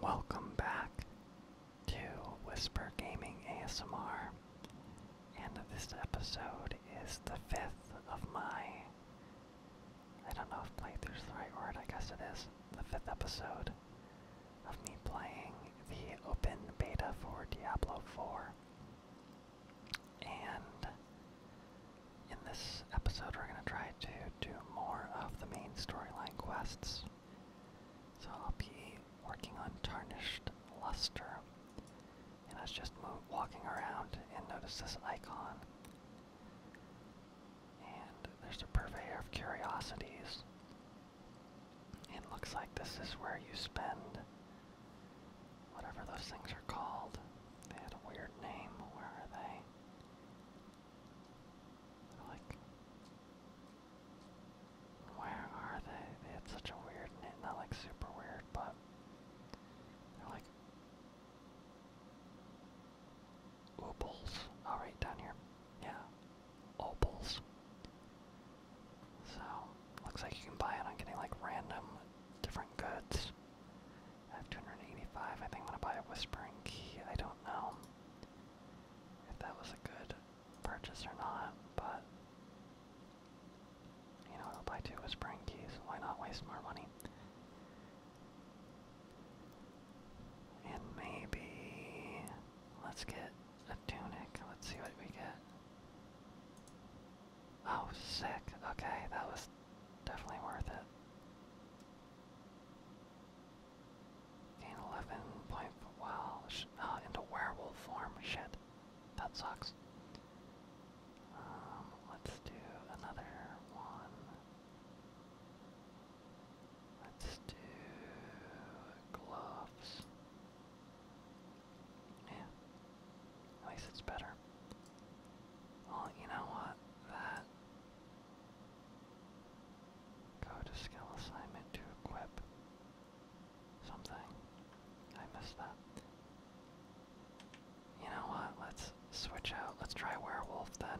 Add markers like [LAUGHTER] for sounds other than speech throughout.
Welcome back to Whisper Gaming ASMR, and this episode is the fifth of my. I don't know if playthrough's the right word, I guess it is. The fifth episode of me playing the open beta for Diablo 4. And in this episode, we're going to try to do more of the main storyline quests. So I'll be working on Tarnished Luster. And I was just walking around and noticed this icon. And there's a purveyor of curiosities. It looks like this is where you spend whatever those things are called. They had a weird name. Where are they? Like, where are they? They such a weird name, not like super weird, but they're like opals. All oh, right, down here, yeah, opals. So looks like you can buy it on getting like random different goods. I have 285. I think I'm gonna buy a whispering key. I don't know if that was a good purchase or not, but you know, I'll buy two whispering keys. Why not waste more money? And maybe let's get a tunic. Let's see what we get. Oh, sick. Okay, that was definitely worth it. Gain 11 point. Wow. Uh, into werewolf form. Shit. That sucks. Um, let's do another one. Let's do gloves. Yeah. At least it's better. Well, you know what? That Go to skill assignment to equip something. I missed that. You know what? Let's switch out. Let's try werewolf then.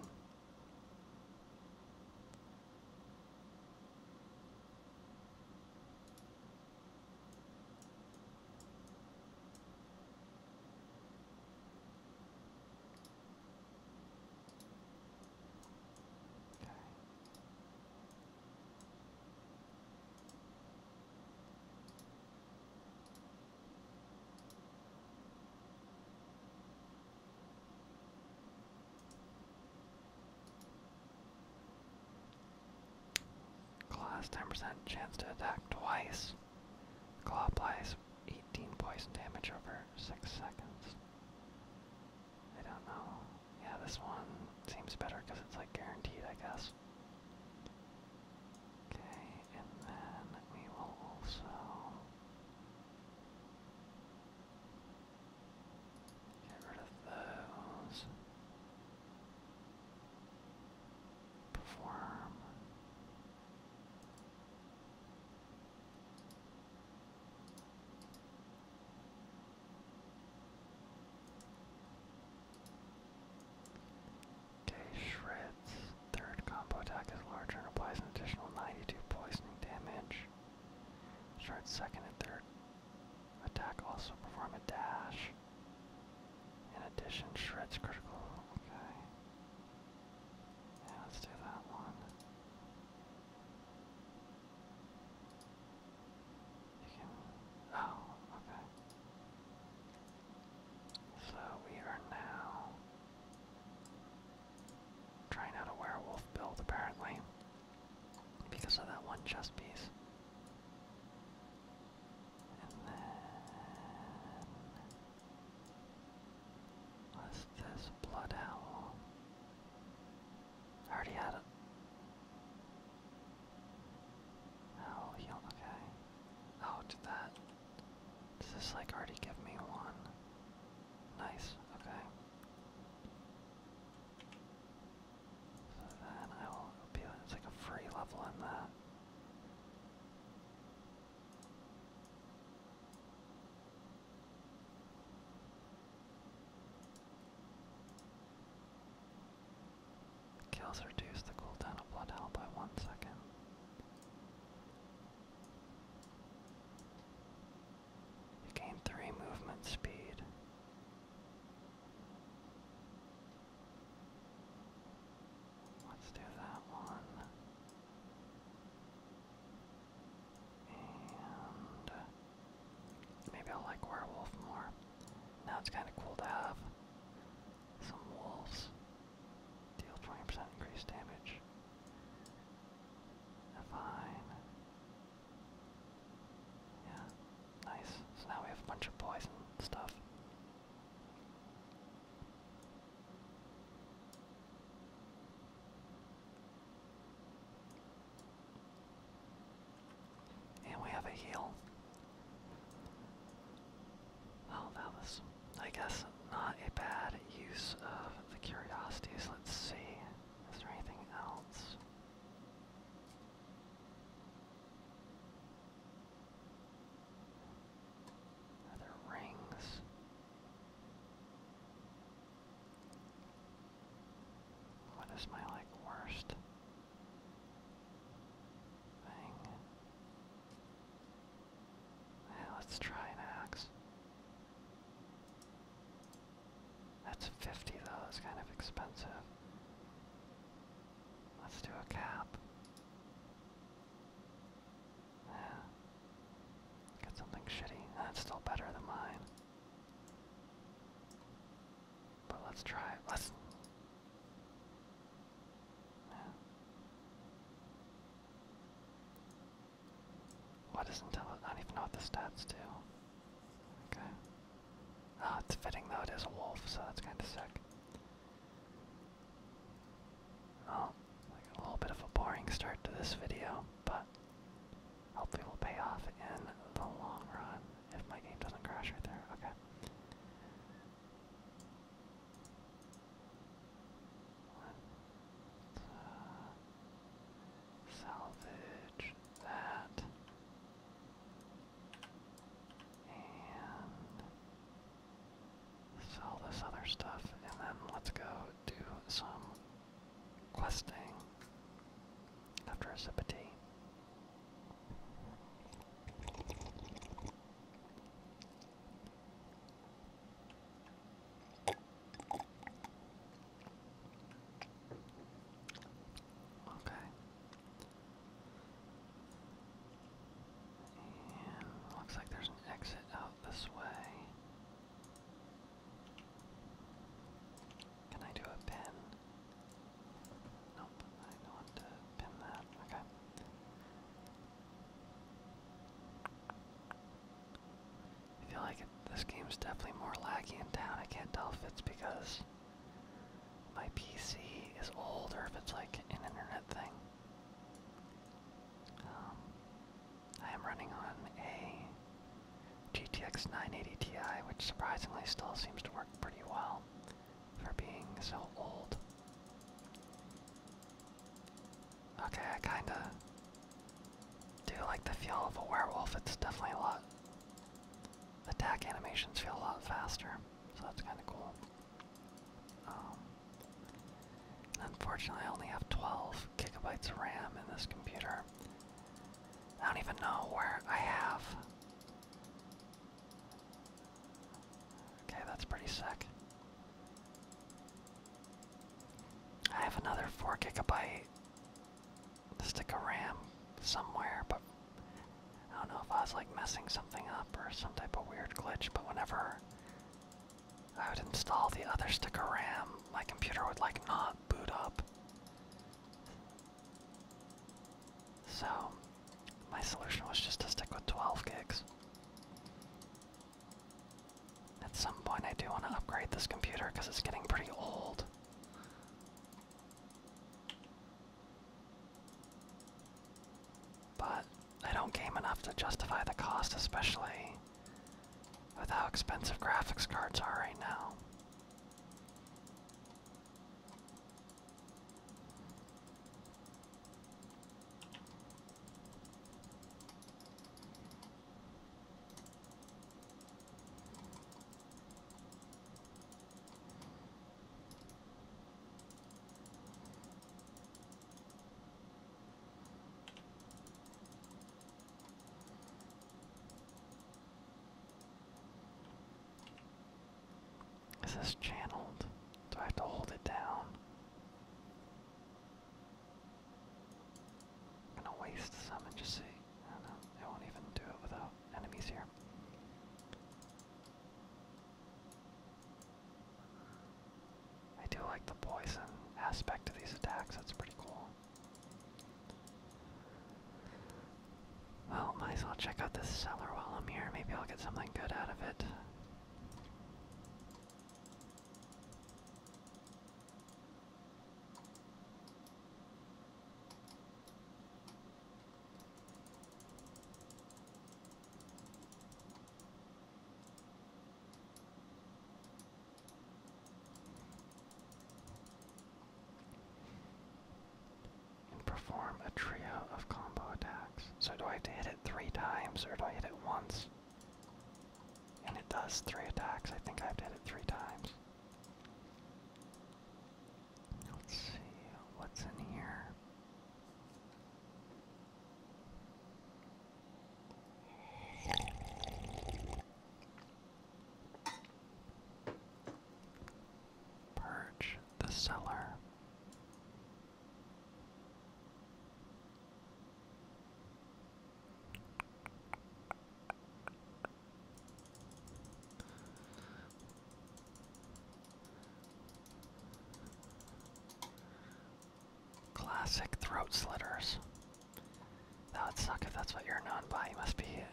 Class 10% chance to attack twice. Claw applies 18 poison damage over 6 seconds. I don't know. Yeah, this one seems better because it's like guaranteed, I guess. Okay, and then we will also. Get rid of those. Perform. Okay, Shred's third combo attack is larger and applies an additional 92 poisoning damage. Shred's second and third attack also perform a dash. In addition, Shred's critical. Okay. Yeah, let's do that one oh, okay. So we are now trying out a werewolf build apparently because of that one chess piece. And then What's this blood owl? I already had it. Oh, heal, okay. Oh, that. Does this like already give me one? Nice, okay. then I will be, it's like a free level in that. Kills reduce the cooldown of Blood Hell by one second. gain three movement speed. Let's do that one. And uh, maybe i like werewolf more. Now it's kind of cool to have some wolves deal 20% increased damage. Fine. Yeah, nice. So now we have a bunch of poison stuff. And we have a heel. Oh, that was, I guess, not a bad use of the curiosities. Let's see. Is there anything else? Are rings? What is my like worst thing? let's try an axe. That's 50 though, that's kind of expensive. Let's do a cap. Yeah. Got something shitty. That's still better than mine. But let's try it. Let's. Yeah. What is intelligence? I don't even know what the stats do. Okay. Oh, it's fitting though, it is a wolf, so that's kind of sick. Oh, like a little bit of a boring start to this video, but that hopefully will pay off in the long run if my game doesn't crash right there. Okay. Uh, salvage that. And sell this other stuff, and then let's go do some questing after a sip of tea. Okay. looks like there's an exit out this way. Can I do a pin? Nope, I don't pin that. Okay. I feel like it, this game's definitely more laggy in town. I can't tell if it's because my PC is old or if it's like an internet thing. Um, I am running on a GTX 980 Ti, which surprisingly still seems to work pretty well for being so old. Okay, I kinda do like the feel of a werewolf. It's definitely a lot. attack animations feel a lot faster, so that's kinda cool. Um, unfortunately, I only have 12 gigabytes of RAM in this computer. I don't even know where I have. Okay, that's pretty sick. I have another 4 gigabyte stick of RAM somewhere, but I don't know if I was like messing something up or some type of weird glitch, but whenever I would install the other stick of RAM. My computer would like not boot up. So, my solution was just to stick with 12 gigs. At some point, I do want to upgrade this computer because it's getting pretty old. But I don't game enough to justify the cost, especially with how expensive graphics cards are right now. Is this channeled? Do I have to hold it down? I'm gonna waste some and just see. I know. It won't even do it without enemies here. I do like the poison aspect of these attacks, that's pretty cool. Well, oh, might as well check out the cellar while I'm here. Maybe I'll get something good out of it. Perform a trio of combo attacks. So do I have to hit it three times or do I hit it once? And it does three attacks. I think I have hit it three times. Let's see what's in here. Purge the cellar. Classic throat slitters. That would suck if that's what you're known by. You must be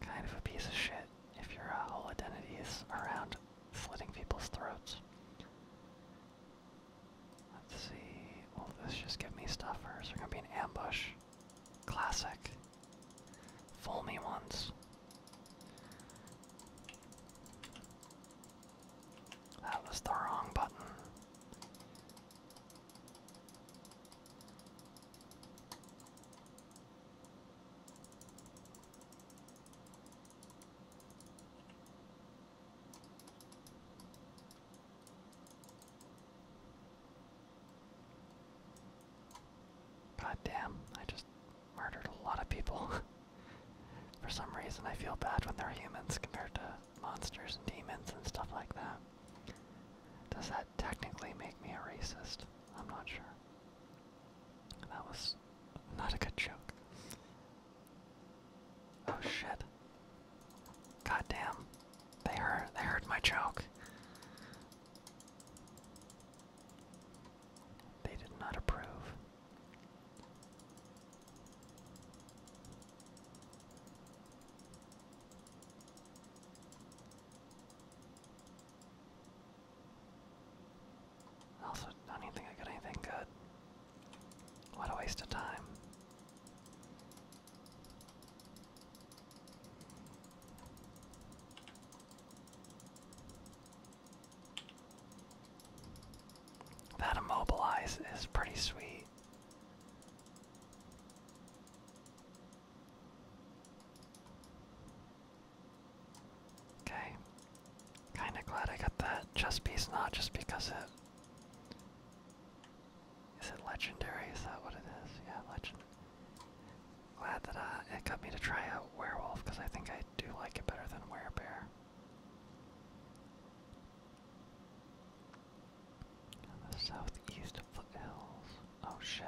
kind of a piece of shit if your uh, whole identity is around slitting people's throats. Let's see. Will this just give me stuff or is gonna be an ambush? Classic. Fool me once. That was the wrong button. God damn, I just murdered a lot of people. [LAUGHS] For some reason, I feel bad when they're humans compared to monsters and demons and stuff like that. Does that technically make me a racist? I'm not sure. That was not a good joke. Oh shit. God damn. They heard they heard my joke. They did not approve. Also, not think I got anything good. What a waste of time. That immobilize is pretty sweet. Okay. Kinda glad I got that chest piece, not just because it. Is it legendary? Is that what it is? Yeah, legend. Glad that uh, it got me to try out werewolf because I think I do like it better than werebear. The southeast foothills. Oh shit.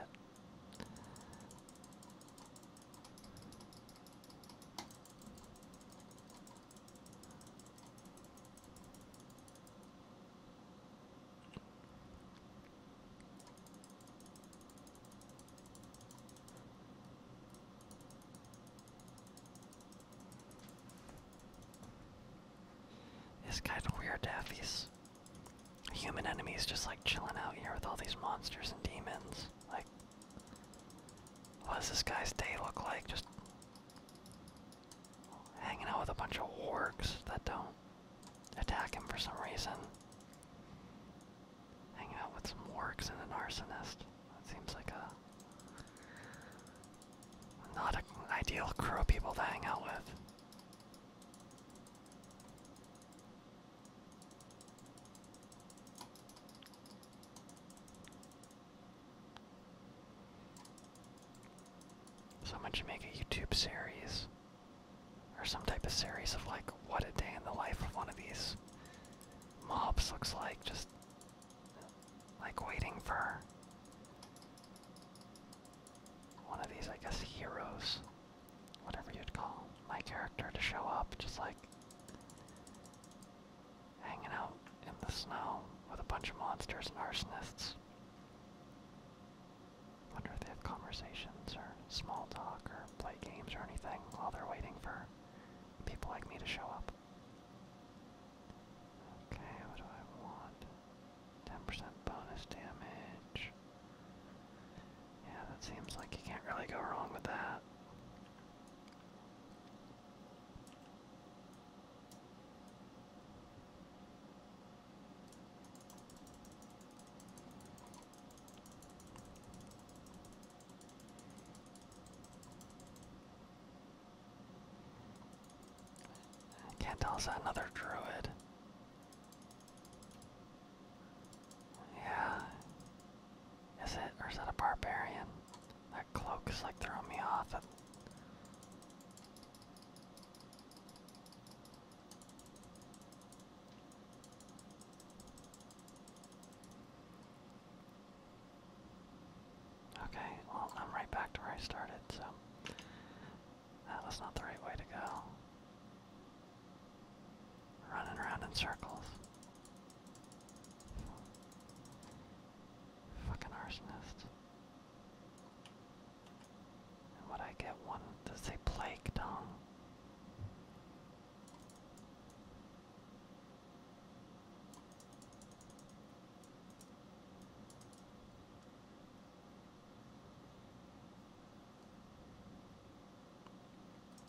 It's kind of weird to have these human enemies just like chilling out here with all these monsters and demons. Like, what does this guy's day look like? Just hanging out with a bunch of wargs that don't attack him for some reason. Hanging out with some wargs and an arsonist. seems like a not an ideal crew people to hang out with. Someone should make a YouTube series or some type of series of like what a day in the life of one of these mobs looks like. Just like waiting for one of these, I guess, heroes, whatever you'd call my character, to show up, just like hanging out in the snow with a bunch of monsters and arsonists. Wonder if they have conversations or small talk or play games or anything while they're waiting for people like me to show up. Okay, what do I want? 10% bonus damage. Yeah, that seems like you can't really go wrong with that. Can't tell us another druid. Yeah. Is it or is that a barbarian? That cloak is like throwing me off. Okay, well, I'm right back to where I started, so that was not the right way to go. Running around in circles. Fucking arsonist. And what I get one does say plague tongue.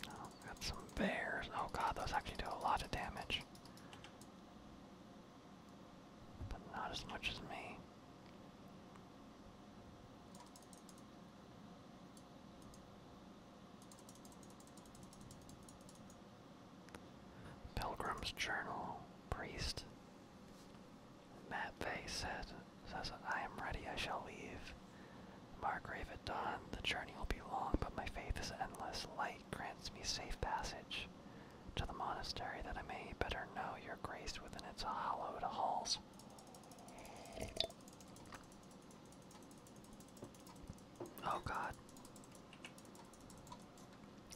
Oh, got some bears. Oh god, those actually do a lot of damage. But not as much as me. Pilgrim's Journal, Priest. Matvey said, says, I am ready, I shall leave. Margrave at dawn, the journey will be long, but my faith is endless. Light grants me safe passage to the monastery that I may better know your grace within its hallowed halls. Oh God.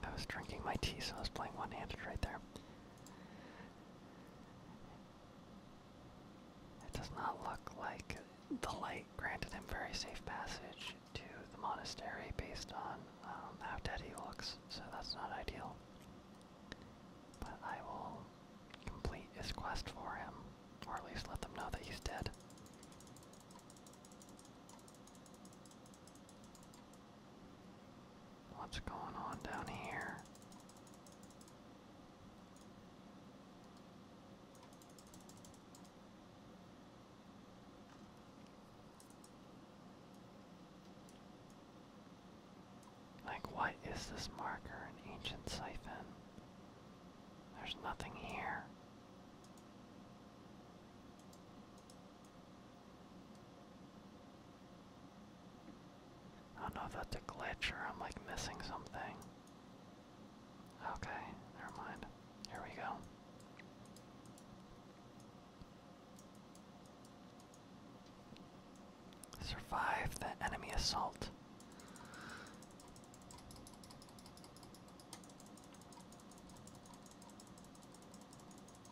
I was drinking my tea, so I was playing one handed right there. It does not look like the light granted him very safe passage to the monastery based on um, how dead he looks, so that's not ideal. But I will complete his quest for him, or at least let them know that he's dead. What's going on down here? Like, what is this marker? An ancient siphon? There's nothing here. I don't know if that's a glitch or I'm like missing something. Okay, never mind. Here we go. Survive the enemy assault.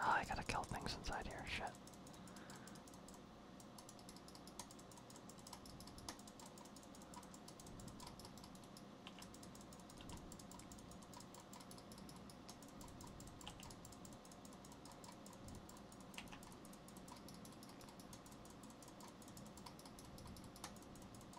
Oh, I gotta kill things inside here, shit.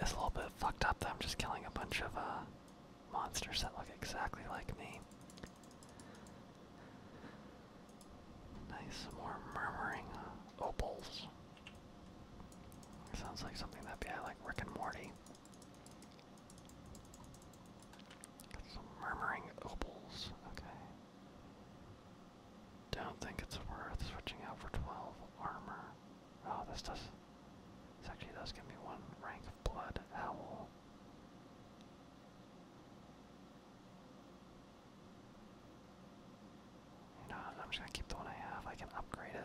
It's a little bit fucked up that I'm just killing a bunch of uh, monsters that look exactly like me. Nice, more murmuring uh, opals. Sounds like something that'd be uh, like Rick and Morty. some murmuring opals, okay. Don't think it's worth switching out for 12 armor. Oh, this does. This actually does give me one rank of blood owl. You I'm just gonna keep the one I have. I can upgrade it.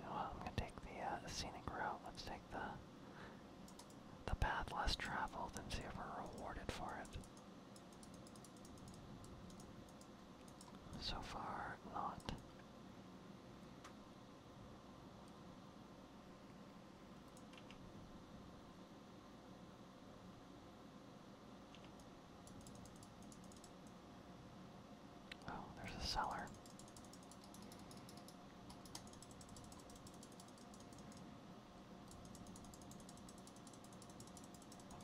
You I'm gonna take the uh, scenic route. Let's take the the path less traveled and see if we're rewarded for it. So far, not. Oh, there's a cellar.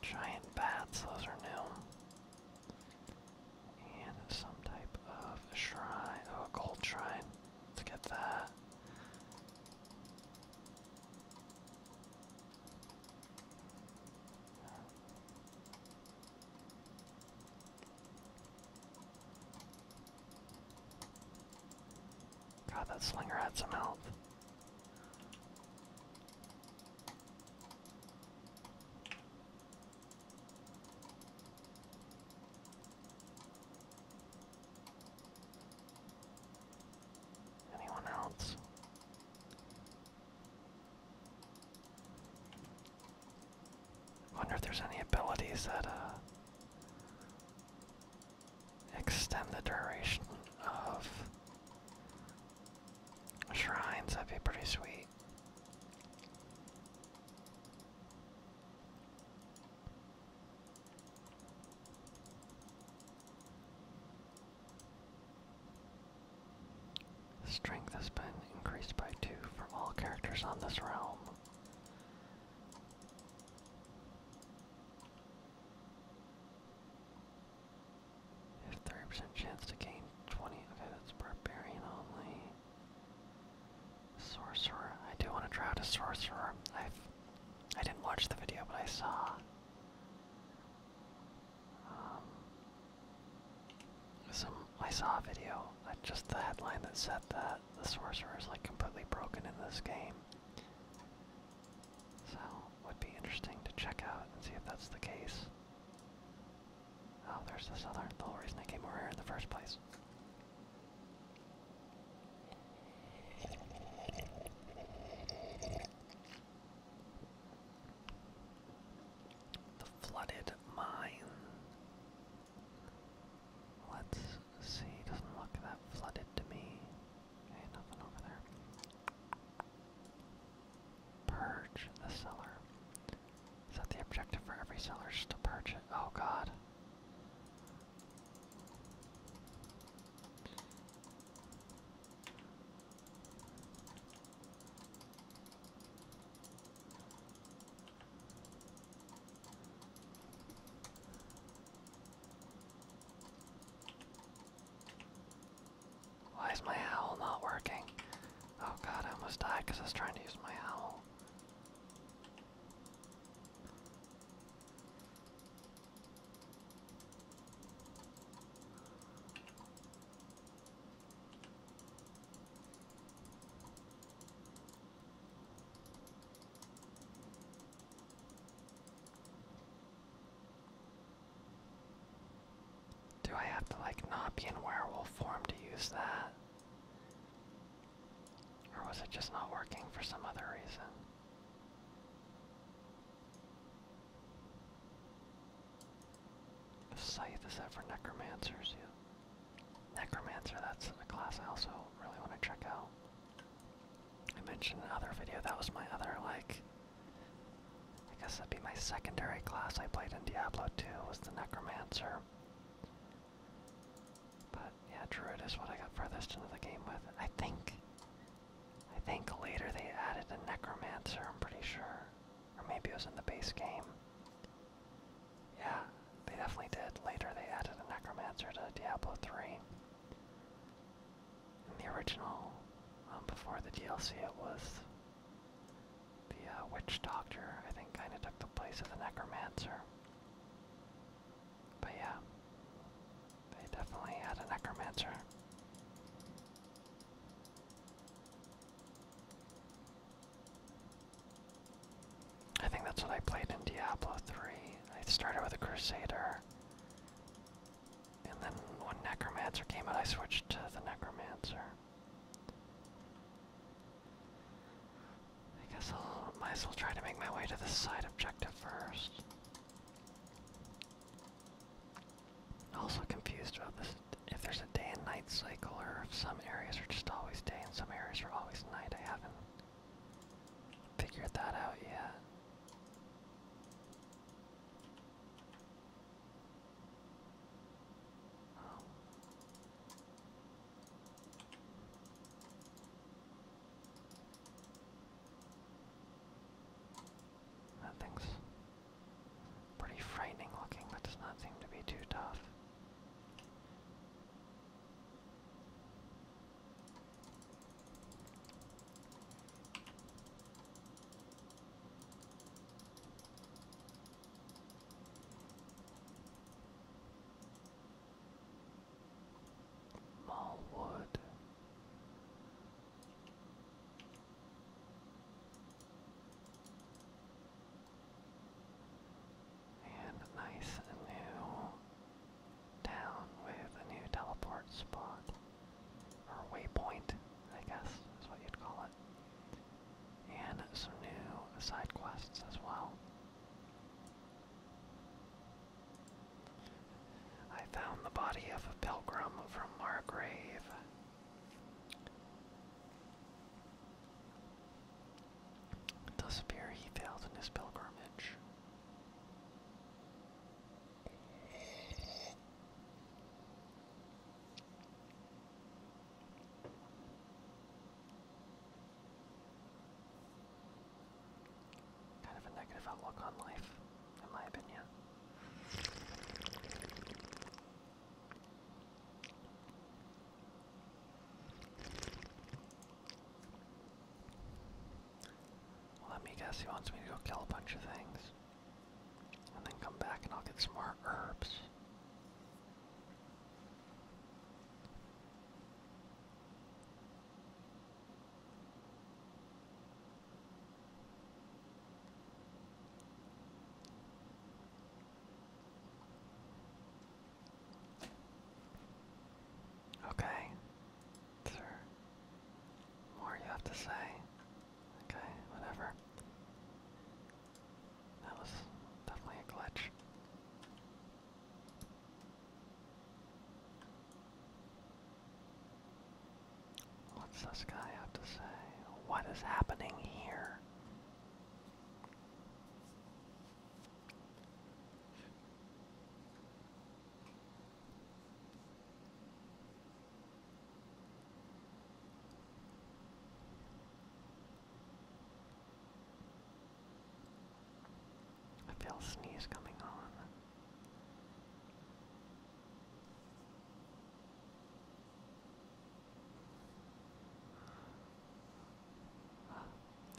Giant bats, those are new. And some type of shrine. Oh, a gold shrine. Let's get that. God, that slinger had some health. Anyone else? Wonder if there's any abilities that uh, extend the duration of shrines. That'd be pretty sweet. Strength has been increased by two for all characters on this realm. Have percent chance to gain twenty. Okay, that's barbarian only. Sorcerer. I do want to try out a sorcerer. I've I i did not watch the video, but I saw. Um, some I saw a video, uh, just the headline that said that the sorcerer is like completely broken in this game. So would be interesting to check out and see if that's the case. Oh, there's this other the whole reason I came over here in the first place. The flooded mine. Let's see, doesn't look that flooded to me. Okay, nothing over there. Purge the cellar. Is that the objective for every cellar, just to purge Oh god. Why is my owl not working? Oh god, I almost died because I was trying to use my owl. Do I have to like not be in werewolf form to use that? Or was it just not working for some other reason? The scythe is that for necromancers, yeah. Necromancer, that's a class I also really want to check out. I mentioned another video, that was my other, like, I guess that'd be my secondary class I played in Diablo 2 was the Necromancer. But yeah, Druid is what I got furthest into the game with. I think, I think later they added the Necromancer, I'm pretty sure. Or maybe it was in the base game. Yeah, they definitely did. Later they added a necromancer to Diablo 3. In the original, um, before the DLC, it was the uh, witch doctor, I think, kind of took the place of the necromancer. But yeah, they definitely had a necromancer. I think that's what I played in Diablo 3. I started with a Crusader. And then when Necromancer came out, I switched to the Necromancer. I guess I might as well try to make my way to the side objective first. Also confused about this, if there's a day and night cycle, or if some areas are just always day and some areas are always night. I haven't figured that out yet. Oh. That thing's pretty frightening looking, but does not seem to be too tough. Malwood. And nice new town with a new teleport spot. Or waypoint, I guess is what you'd call it. And some new side quests as well. I found the body of a pilgrim from Margrave. It does he failed in his pilgrimage. Kind of a negative outlook on life, in my opinion let me guess, he wants me to go kill a bunch of things. And then come back and I'll get some more herbs. Okay. Is more you have to say? Okay, whatever. That was definitely a glitch. What's this guy have to say? What is happening here? I feel sneeze coming on.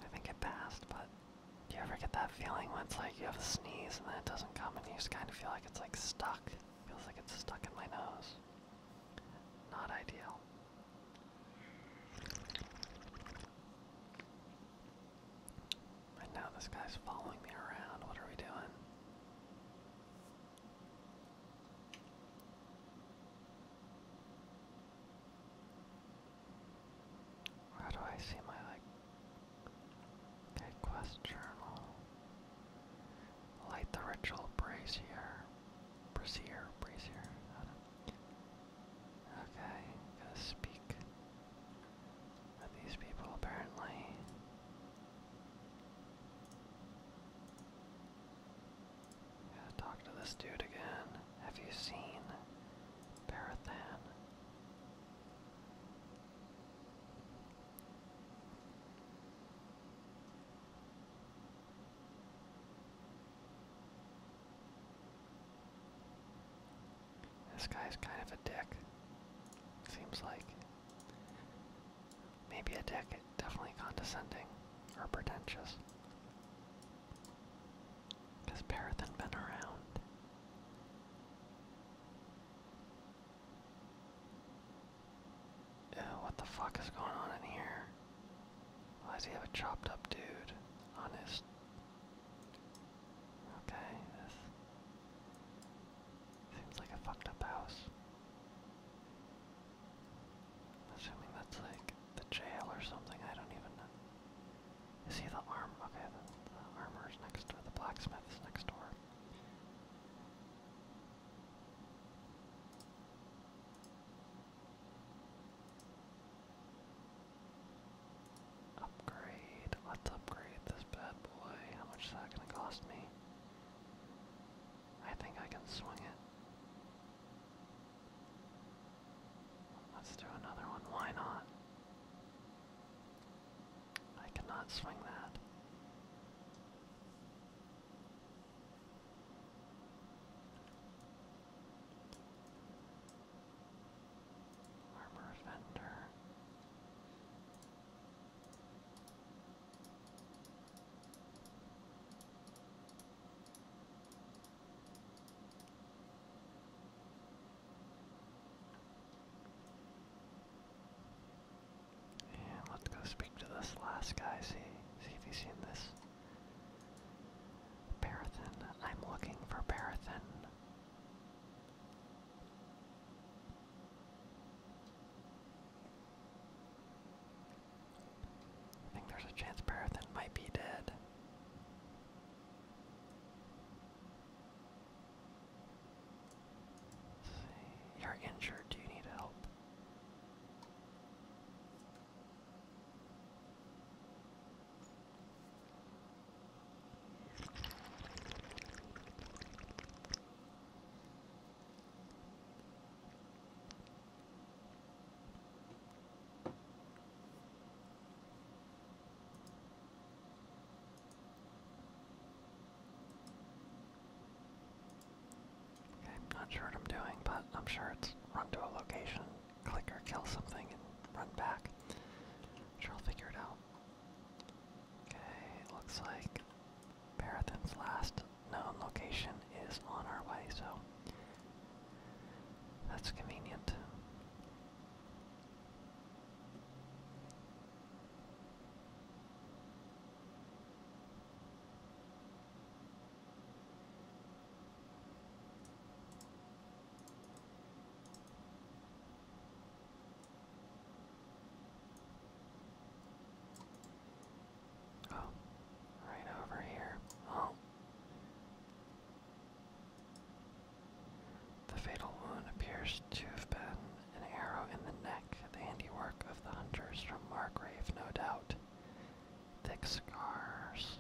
I think it passed, but do you ever get that feeling when it's like you have a sneeze and then it doesn't come and you just kind of feel like it's like stuck? Feels like it's stuck in my nose. Not ideal. Right now this guy's following me around. What are we doing? Where do I see my like quest journal. Light the ritual brazier. Brazier, brazier. Okay, gotta speak these people apparently. Gotta talk to this dude again. Have you seen Parathan? This guy's kind of a dick. Seems like. Maybe a dick, definitely condescending or pretentious. Because Parrot had been around. what the fuck is going on in here? Why does he have a chopped up dude on his... Okay, this... Seems like a fucked up house. assuming that's like the jail or something, I don't even know. You see the arm? Okay, the, armor is next door. The blacksmith's next door. Upgrade. Let's upgrade this bad boy. How much is that going to cost me? I think I can swing it. Let's do another one. Why not? I cannot swing that. Armor Fender let's go speak to this last guy, see, see if he's seen this. Parathin, I'm looking for Parathin. I think there's a chance Parathin might be dead. You're injured. Do you need help? I'm not sure what I'm doing, but I'm sure it's run to a location, click or kill something, and run back. i sure I'll figure it out. Okay, looks like Parathin's last known location is on our way, so that's convenient. Oh, right over here. Oh, the fatal wound appears to have been an arrow in the neck, the handiwork of the hunters from Margrave, no doubt. Thick scars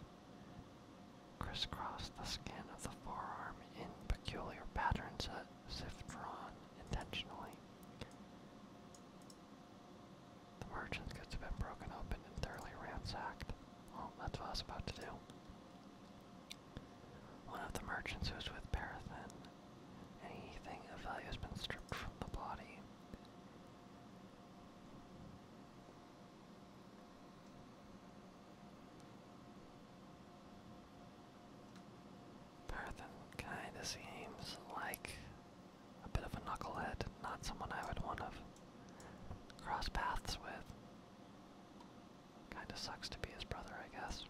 crisscross the skin of the forearm in peculiar patterns uh, as if drawn intentionally. The merchant's goods have been broken open and thoroughly ransacked. Oh, that's what I was about to do. One of the merchants who was with Parathen. Anything of value has been stripped from the body. Parathen kinda seems like a bit of a knucklehead, not someone I would want to cross paths with. Kinda sucks to be his brother, I guess.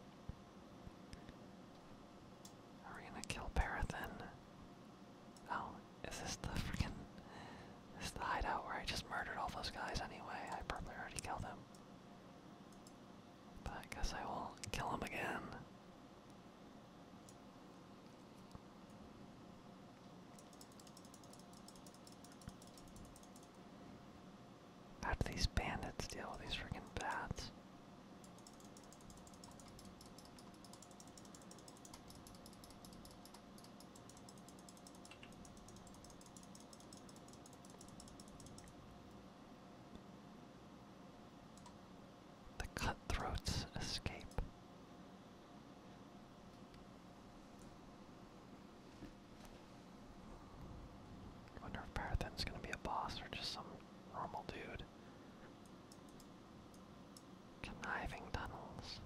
Are we gonna kill Parathin? Oh, is this the freaking. This is the hideout where I just murdered all those guys anyway. I probably already killed him. But I guess I will kill him again. How do these bandits deal with these freaking bats? The cutthroats escape. I wonder if Parathen's gonna be a boss or just some normal dude. Conniving tunnels.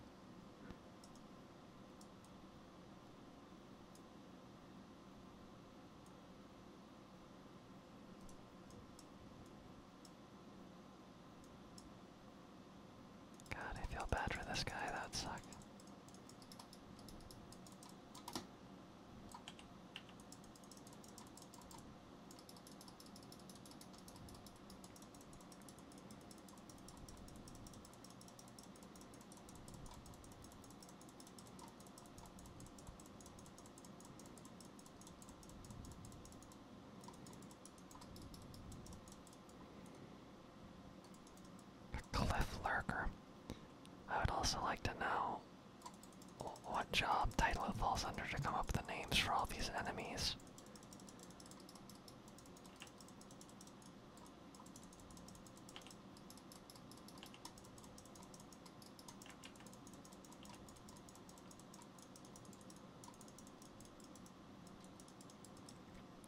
God, I feel bad for this guy. That would suck. A cliff lurker. I would also like to know what job title it falls under to come up with the names for all these enemies.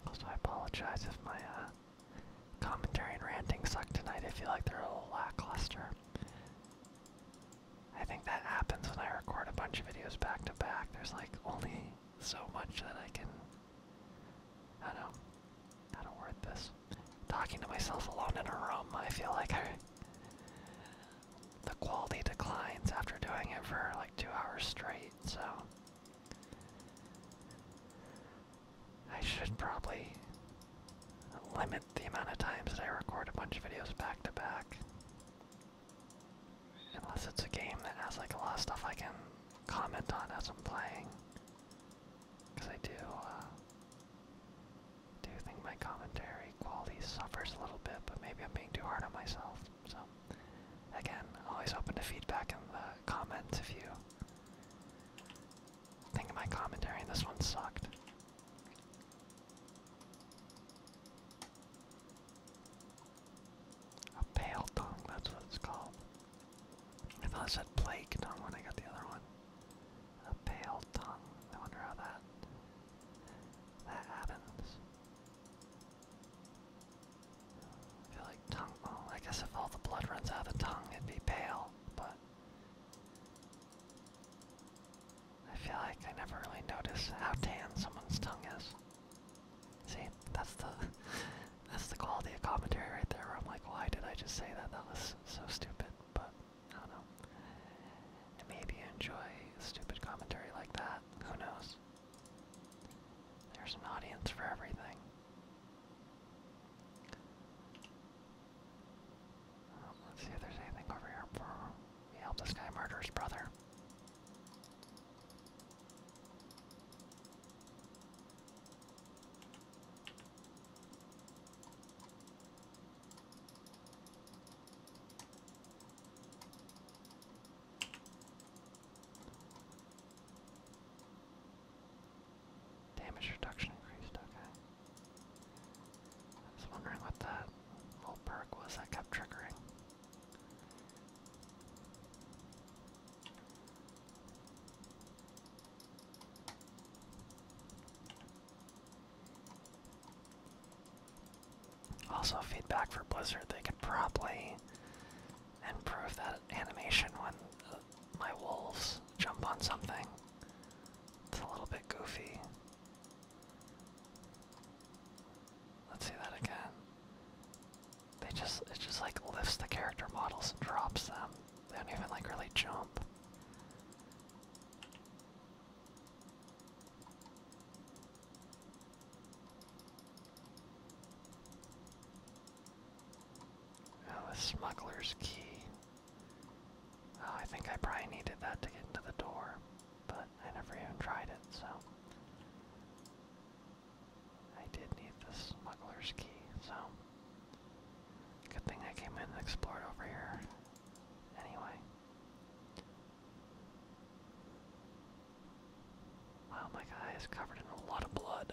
Also, I apologize if my uh, commentary and ranting suck tonight. I feel like they're a little lackluster. I think that happens when I record a bunch of videos back to back. There's like only [LAUGHS] so much that I can. I don't know I don't word this. Talking to myself alone in a room, I feel like I, the quality declines after doing it for like two hours straight, so I should probably limit the amount of times that I record a bunch of videos back to back. Unless it's a game that has like a lot of stuff I can comment on as I'm playing. Because I do, uh, do think my commentary quality suffers a little bit, but maybe I'm being too hard on myself. So, again, always open to feedback in the uh, comments if you think my commentary this one sucked. A pale tongue, that's what it's called. I thought I said plague tongue when I got the other one. A pale tongue. I wonder how that that happens. I feel like tongue. I guess if all the blood runs out of tongue, it'd be pale, but. I feel like I never really notice how tan someone's tongue is. See, that's the [LAUGHS] that's the quality of commentary right there. Where I'm like, why did I just say that? That was so stupid. But I don't know. maybe you enjoy stupid commentary like that. Who knows? There's an audience for everything. Oh, let's see if there's anything over here for we this guy murder his brother. Damage reduction increased, okay. I was wondering what that little perk was that kept triggering. Also, feedback for Blizzard, they could probably improve that animation when uh, my wolves jump on something. It's a little bit goofy. Let's see that again. They just it just like lifts the character models and drops them. They don't even like really jump. Oh, the smuggler's key. Oh, I think I probably needed that to get into the door, but I never even tried it, so. I did need the smuggler's key, so. Good thing I came in and explored over here. Anyway. Wow, my guy is covered in a lot of blood.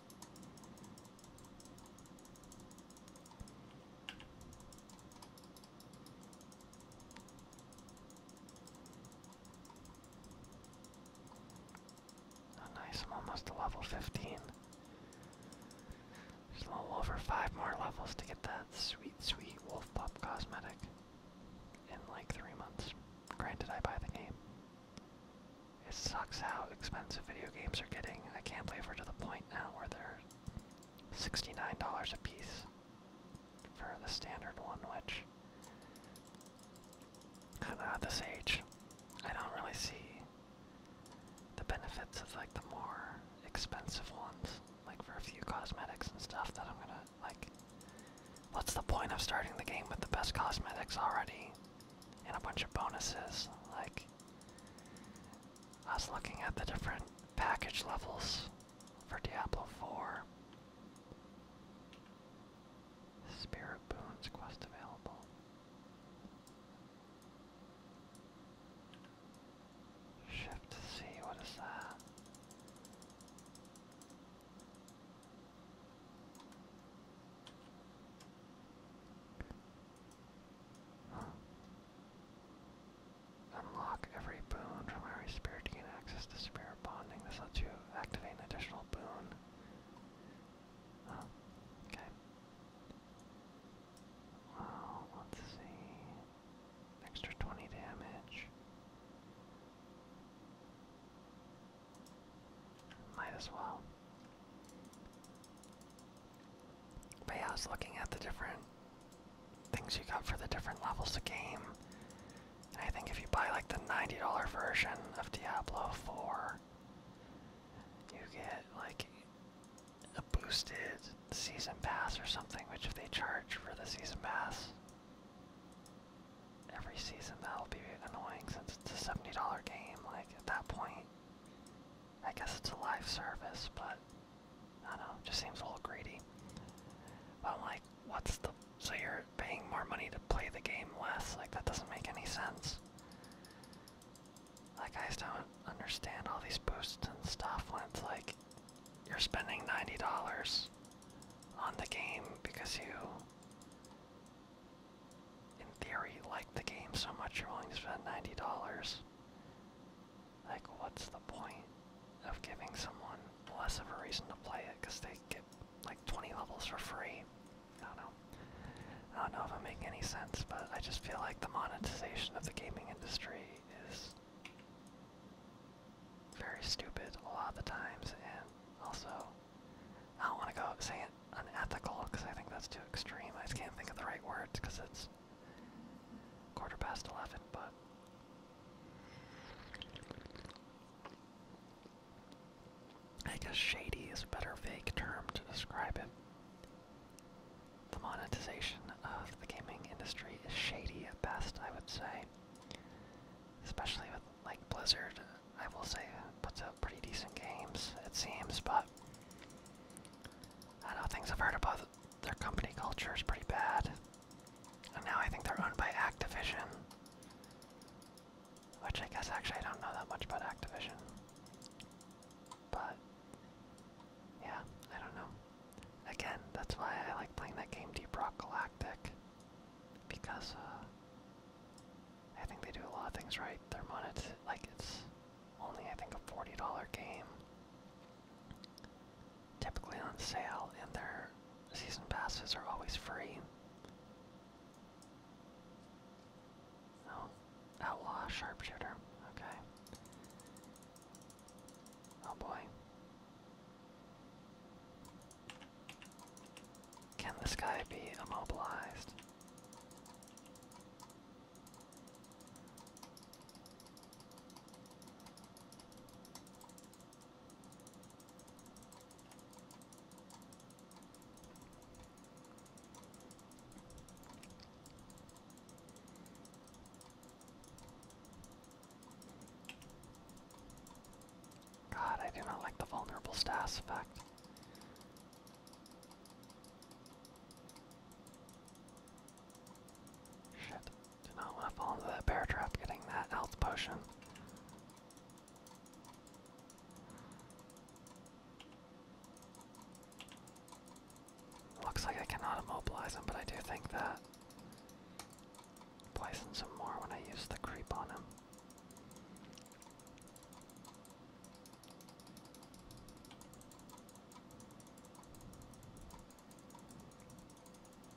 nice, I'm almost to level 15. There's a little over five more levels to get that sweet, sweet Wolf Pup cosmetic in like three months. Granted, I buy the game. It sucks how expensive video games are getting. I can't believe we're to the point now where they're $69 a piece for the standard one, which at this age, I don't really see the benefits of like the more expensive ones, like for a few cosmetics and stuff that I'm gonna like. What's the point of starting the game with the best cosmetics already? and a bunch of bonuses. Like, I was looking at the different package levels for Diablo 4. Spirit Boons quest available. Shift to what is that? Unlock every boon from every spirit to gain access to spirit bonding. This lets you activate an additional boon. Oh, okay. Well, let's see. Extra 20 damage. Might as well. But yeah, I was looking at the different things you got for the different levels of game. And I think if you buy like the $90 version of Diablo 4, you get like a boosted season pass or something, which if they charge for the season pass every season, that'll be annoying since it's a $70 game. Like at that point, I guess it's a live service, but I don't know, it just seems a little greedy. But I'm like, what's the so you're paying more money to play the game less? Like that doesn't make any sense. Like I just don't understand all these boosts and stuff when it's like you're spending ninety dollars on the game because you in theory, like the game so much you're willing to spend $90. Like, what's the point of giving someone less of a reason to play it because they get like 20 levels for free? I don't know. I don't know if I'm making any sense, but I just feel like the monetization of the gaming industry is very stupid a lot of the times and also I don't want to go say it unethical because I think that's too extreme. I just can't think of the right words because it's quarter past 11, but. I guess shady is a better fake term to describe it. The monetization of the gaming industry is shady at best, I would say. Especially with like Blizzard I will say, puts out pretty decent games, it seems, but I know things I've heard about their company culture is pretty bad. And now I think they're owned by Activision. Which I guess actually I don't know that much about Activision. But, yeah, I don't know. Again, that's why I like playing that game Deep Rock Galactic. Because, uh, I think they do a lot of things right. They're monet like it's only I think a forty dollar game. Typically on sale, and their season passes are always free. Oh, outlaw sharpshooter. Okay. Oh boy. Can this guy be immobilized? God, I do not like the vulnerable status effect. Shit. Do not want to fall into that bear trap getting that health potion. Looks like I cannot immobilize him, but I do think that poisons some more when I use the creep on him.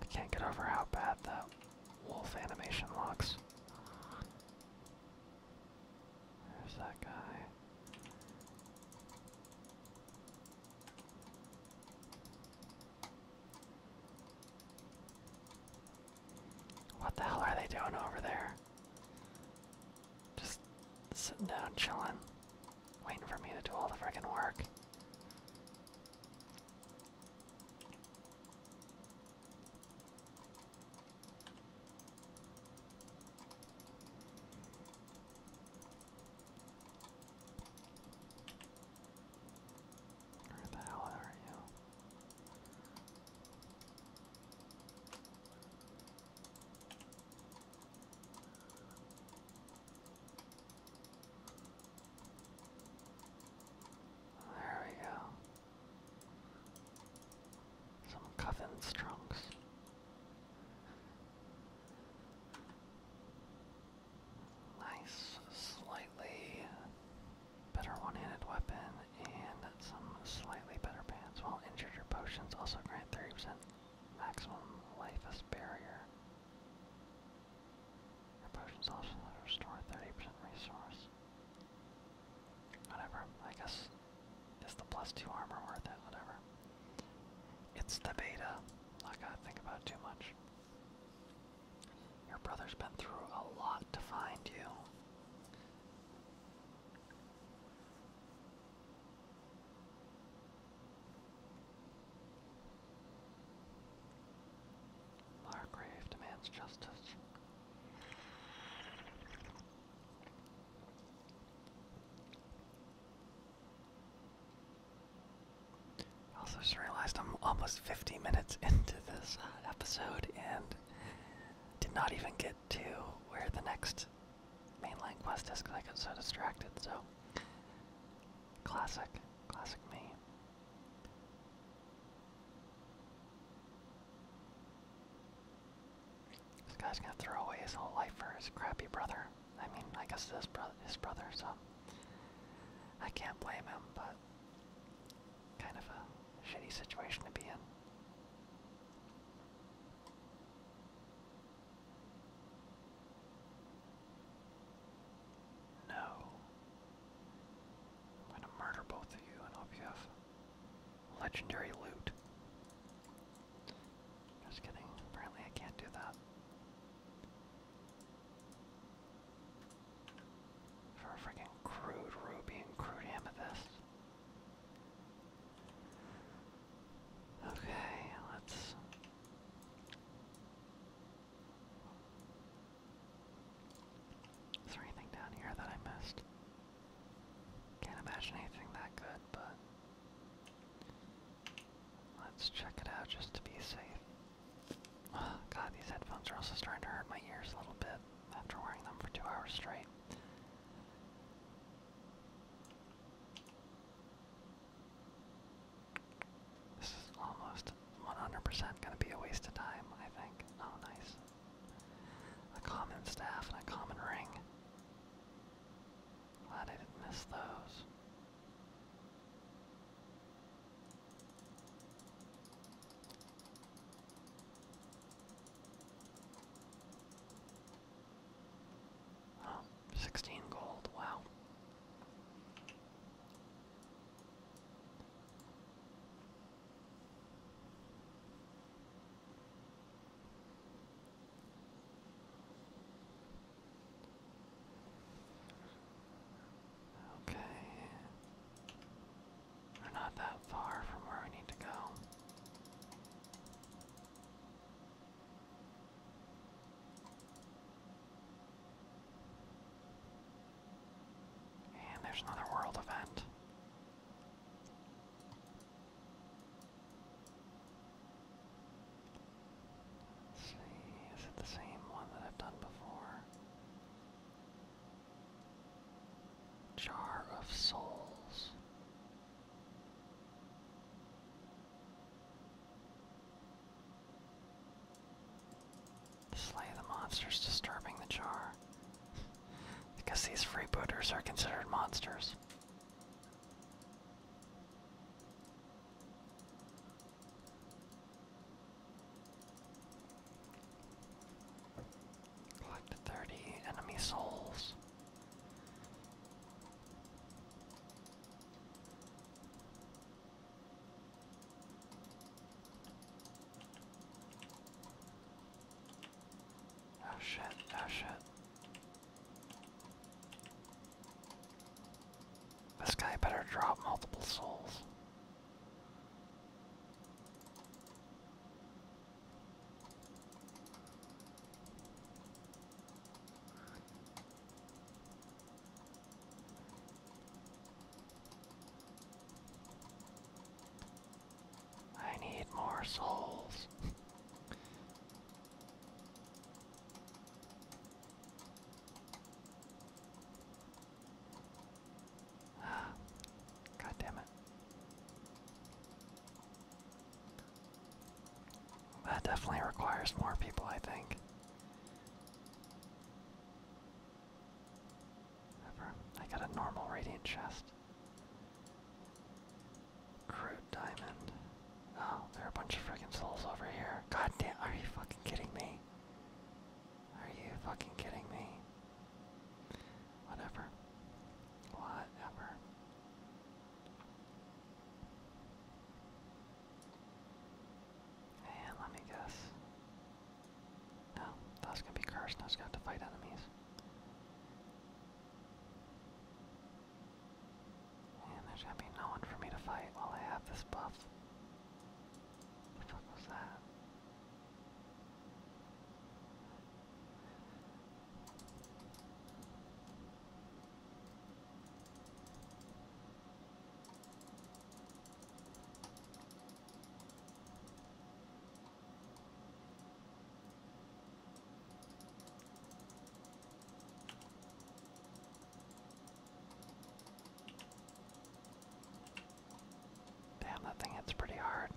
I can't get over how bad that wolf animation looks. There's that guy. What the hell are they doing over there? Just sitting down, chilling, waiting for me to do all the frickin' work. Where the hell are you? There we go. Some coven's trunks. Nice, slightly better one handed weapon and some slightly better pants. While injured or potions also grant 30% maximum life as barrier. Your potions also restore 30% resource. Whatever, I guess is the plus 2 armor worth it, whatever. It's the beta, not going to think about it too much. Your brother's been through a lot to find you. Margrave demands justice. also just realized I'm almost 50 minutes into this uh, episode and did not even get to where the next quest, mainline quest disc because I got so distracted. So, classic, classic me. This guy's gonna throw away his whole life for his crappy brother. I mean, I guess his brother, his brother. So, I can't blame him, but kind of a shitty situation to be in. No. I'm gonna murder both of you and hope you have legendary loot. Just kidding. Apparently I can't do that. For a freaking crude ruby and crude amethyst. Okay, let's Is there anything down here that I missed? Can't imagine anything that good, but let's check it out just to be safe. [SIGHS] God, these headphones are also starting to hurt my ears a little bit after wearing them for two hours straight. This is almost 100% gonna be a waste of time, I think. Oh, nice. A common staff and a common ring. Glad I didn't miss those. Oh, 16 gold, wow. Okay. We're not that far from where we need to go. And there's another world event. see, is it the same one that I've done before? Jar of Souls. Slay the monsters disturbing the jar. because [LAUGHS] these freebooters are considered monsters. Collect 30 enemy souls. Oh shit, oh shit. This guy better drop multiple souls. I need more souls. [SIGHS] God that definitely requires more people, I think. Ever. I got a normal radiant chest. Crude diamond. Oh, there are a bunch of freaking souls over here. God are you fucking kidding me? Are you fucking kidding me? Whatever. Whatever. And let me guess. No, that's gonna be cursed. Now it's gonna to fight enemies. And there's gonna be no one for me to fight while I have this buff. What the fuck was that? Damn, that thing hits pretty hard.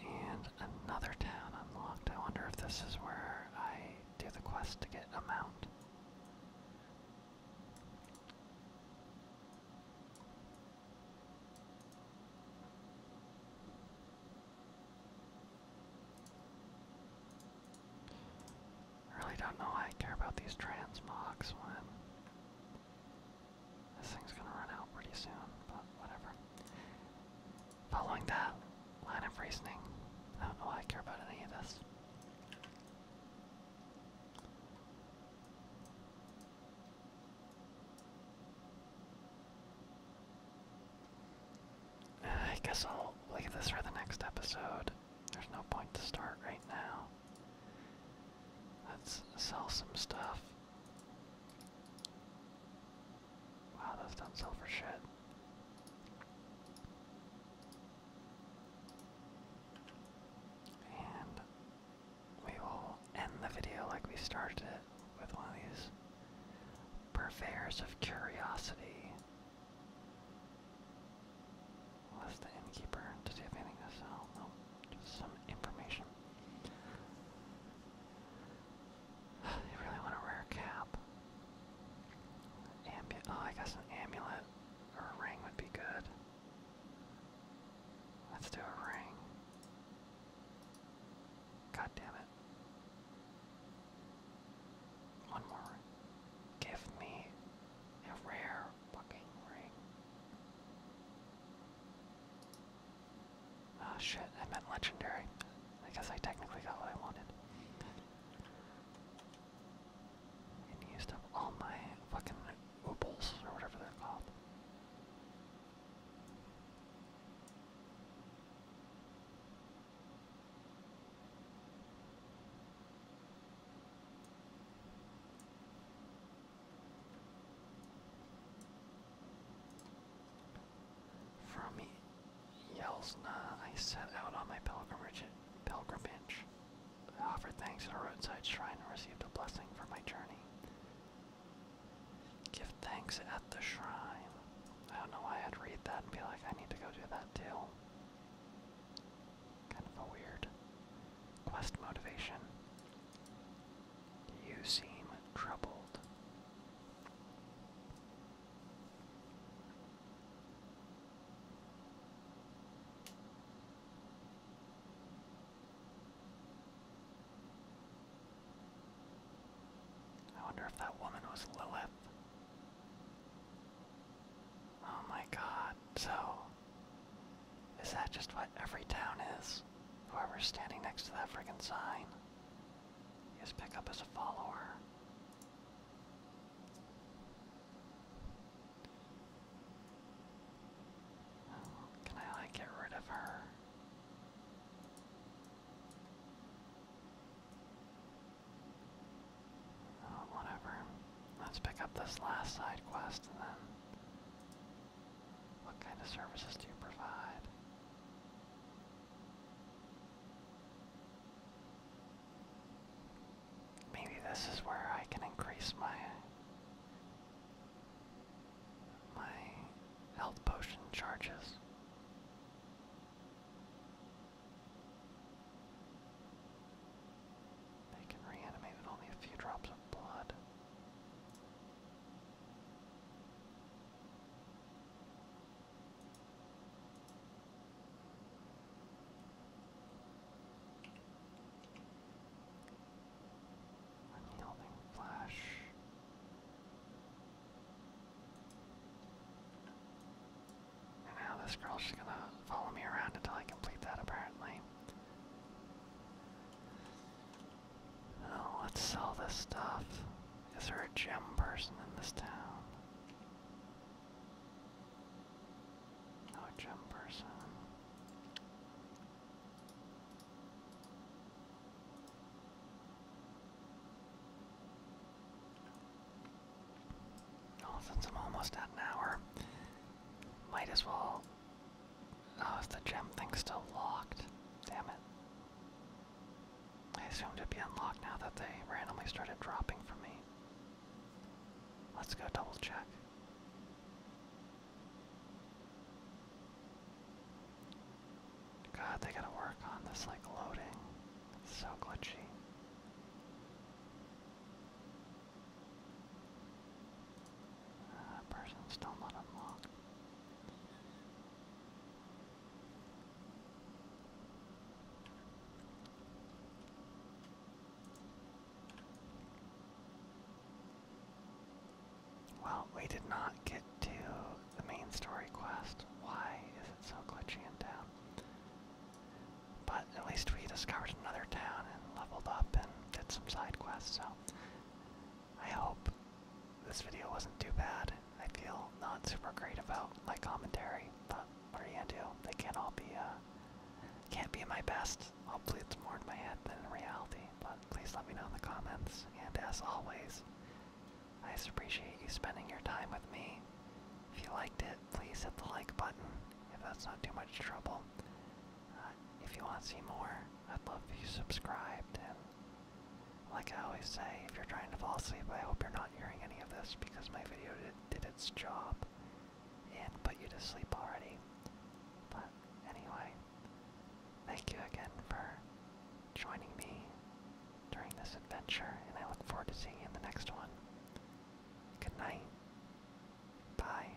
And another town unlocked. I wonder if this is where I do the quest to get a mount. Really don't know why I care about these transmogs this thing's gonna run out pretty soon, but whatever. Following that line of reasoning, I don't know why I care about any of this. I guess I'll leave this for the next episode. There's no point to start right now. Let's sell some stuff. Wow, those don't sell shit. And we will end the video like we started it with one of these purveyors of curiosity. What's the innkeeper? Does he have anything to sell? No, just some information. They really want a rare cap. Ambu oh, I guess an amulet or a ring would be good. Let's do a ring. God damn it. One more Give me a rare fucking ring. Ah, shit, I meant legendary. I guess I technically got what I wanted. used up all my fucking oobles, or whatever they're called. From Yelsna, I set out on my pilgrimage. pilgrimage. I offered thanks at a roadside shrine and received a blessing for my journey. Give thanks at the shrine. I don't know why I'd read that and be like, I need to go do that too. Kind of a weird quest motivation. You seem troubled. I wonder if that woman was Lilith. Oh my god, so. Is that just what every town is? Whoever's standing next to that friggin' sign. His pickup as a follower. Oh, can I like get rid of her? Oh, whatever. Let's pick up this last side quest then what kind of services do you provide? Maybe this is where I can increase my my health potion charges. They can reanimate with only a few drops of blood. Unyielding flash. And now this girl's just gonna follow me around until I complete that, apparently. Oh, let's sell this stuff. Is there a gem person in this town? No gem person. Oh, since I'm almost at an hour, might as well. Oh, is the gem thing still locked? Damn it. I assumed it'd be unlocked now that they randomly started dropping for me. Let's go double check. God, they gotta work on this like loading. It's so glitchy. Uh, person still not unlocked. Well, we did not get to the main story quest. Why is it so glitchy in town? But at least we discovered another town and leveled up and did some side quests, so I hope this video wasn't too bad. I feel not super great about my commentary, but what are you gonna do? They can't all be, uh, can't be my best. Hopefully it's more in my head than in reality, but please let me know in the comments. And as always, I appreciate you spending your time with me. If you liked it, please hit the like button, if that's not too much trouble. Uh, if you want to see more, I'd love if you subscribed, like I always say, if you're trying to fall asleep, I hope you're not hearing any of this because my video did, its job and put you to sleep already. But anyway, thank you again for joining me during this adventure, and I look forward to seeing you in the next one. Good night. Bye.